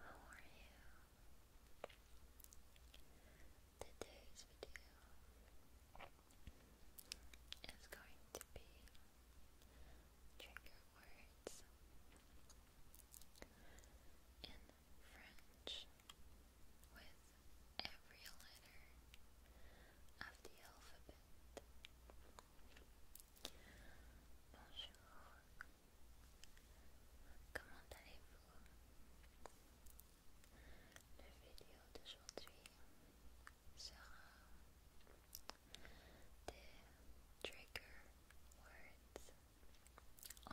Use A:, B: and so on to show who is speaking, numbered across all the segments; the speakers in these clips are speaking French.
A: Hi. How are you? Today's video is going to be trigger words in French with every letter of the alphabet. Bonjour. Comment allez-vous? La vidéo d'aujourd'hui sera des trigger words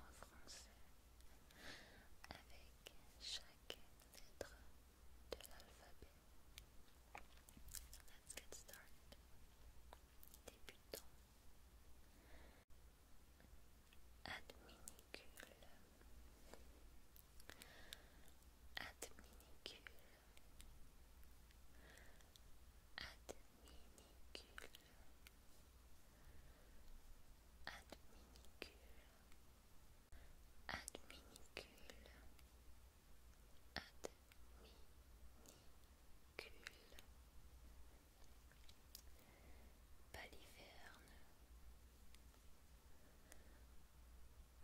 A: en français avec chaque lettre de l'alphabet. let's get started. Débutons. Adminicule. Adminicule. Adminicule. Adminicule. Adminicule. Adminicule. Adminicule. Paliverne.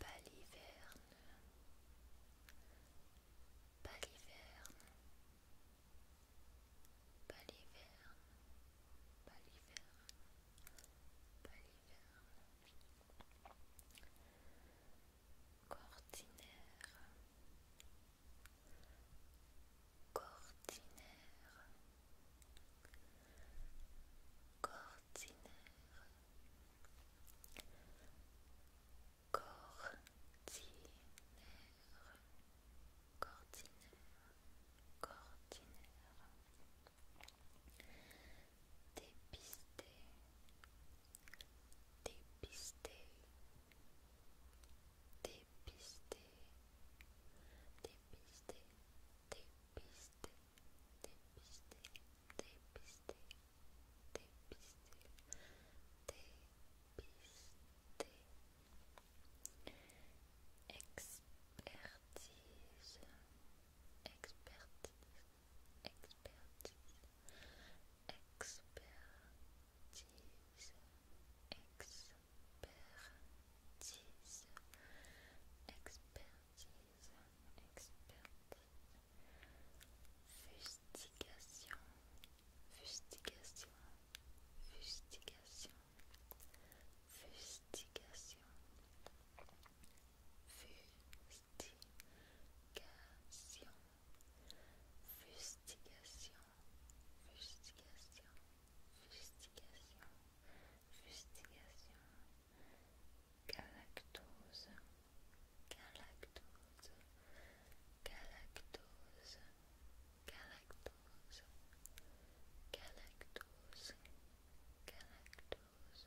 A: Paliverne. Paliverne. Paliverne. Paliverne. Paliverne. Cortinaire, cortinaire, cortinaire, cortinaire, cortinaire, cortinaire. Dépister, dépister, dépister, dépister, dépister, dépister, dépister, dépister, dépister, Expertise, expertise, expertise, expertise, expertise, expertise, expertise, fustigation, fustigation, fustigation, Fustigation. Fustigation. Fustigation. Fustigation. Fustigation. Fustigation. Galactose. Galactose. Galactose. Galactose. Galactose. Galactose.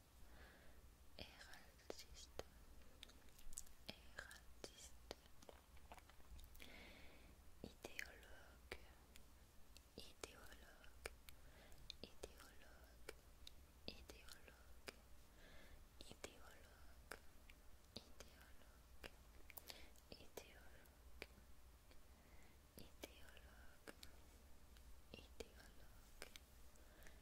A: Héraldiste, héraldiste, idéologue, idéologue, idéologue, idéologue, idéologue, idéologue. Idéologue, idéologue, idéologue, idéologue,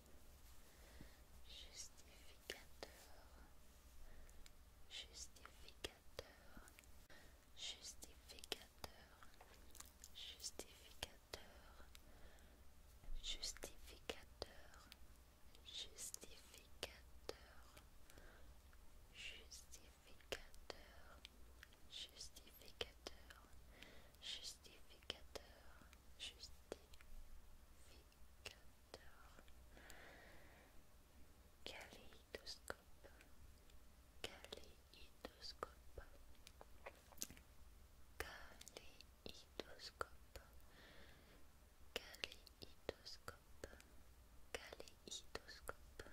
A: justificateur, justificateur, justificateur, justificateur, justificateur, justificateur, justificateur, justificateur, justificateur, justificateur. Caléidoscope caléidoscope caléidoscope caléidoscope caléidoscope caléidoscope caléidoscope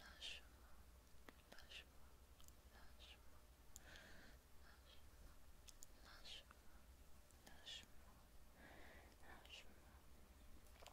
A: Lâche-moi, lâche-moi, lâche-moi, lâchement, lâche moi lâche moi lâche moi lâche moi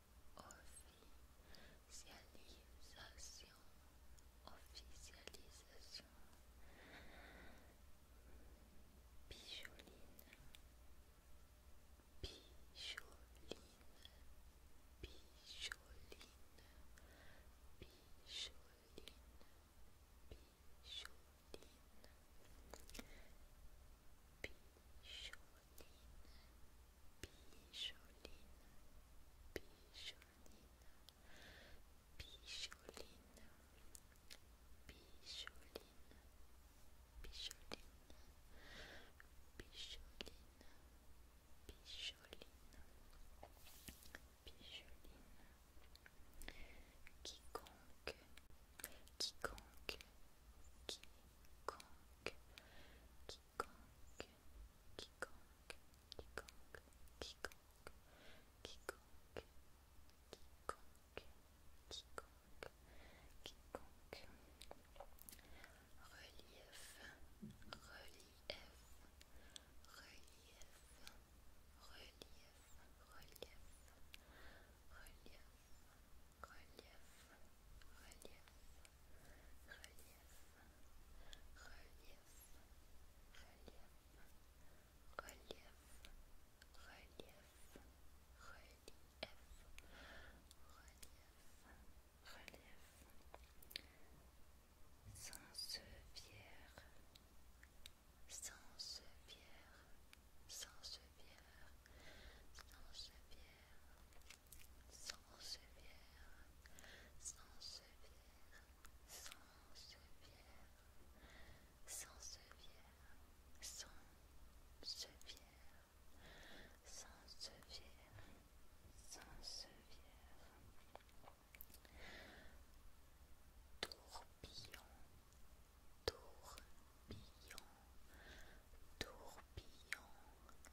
A: Officialisation, officialisation, picholine, picholine, picholine, picholine, picholine, picholine. Picholine, Picholine, Picholine, Picholine, Picholine, Picholine, Picholine, Picholine, quiconque, quiconque, quiconque, quiconque, quiconque, quiconque, quiconque, quiconque, quiconque, quiconque, quiconque, quiconque. Relief, relief, relief, relief, relief, relief relief, relief, relief, relief, relief, relief, relief, relief, relief, sans pierre, sans pierre, sans pierre, sans pierre. Sans sans sans sans Sansevière, sans Sansevière, sans sans sans Sansevière, tourbillon, tourbillon, tourbillon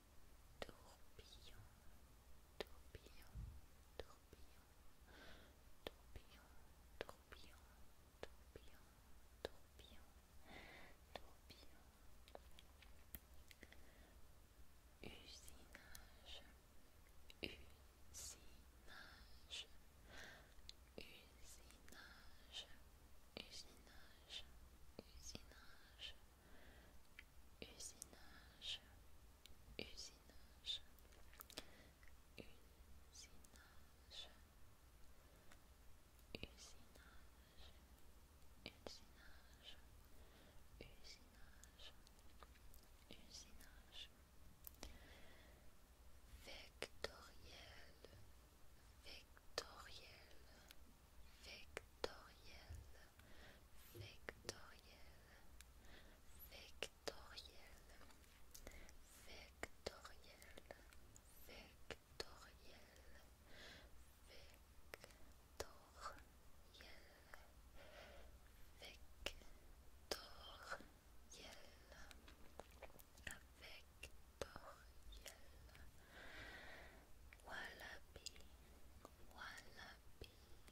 A: tourbillon, tourbillon, tourbillon, tourbillon, tourbillon, tourbillon, tourbillon, tourbillon. Usinage, usinage, usinage, usinage, usinage usinage, usinage, usinage, usinage, usinage, usinage, usinage, vectoriel, vectoriel, vectoriel, vectoriel, vectoriel, vectoriel, vectoriel, vectoriel, vectoriel, vectoriel, voilà puis.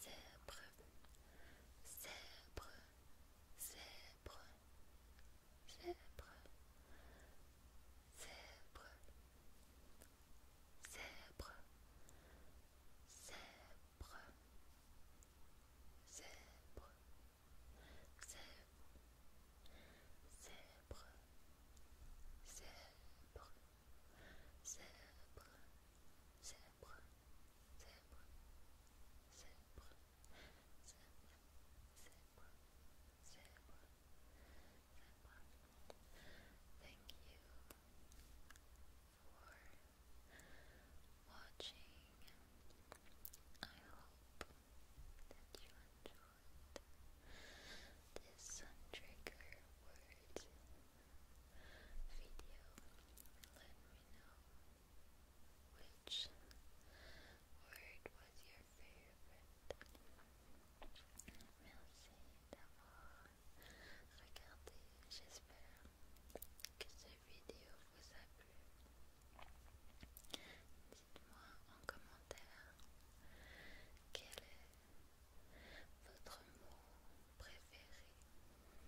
A: zèbre, zèbre, zèbre, zèbre, zèbre, zèbre, zèbre, zèbre, zèbre. Zèbre, zèbre, zèbre, zèbre, zèbre, zèbre, zèbre, zèbre, zèbre, zèbre, zèbre. Thank you for watching. I hope that you enjoyed this sun trigger word video, let me know which word was your favorite. Merci d'avoir regardé. J'espère que cette vidéo vous a plu. Dites-moi en commentaire quel est votre mot préféré.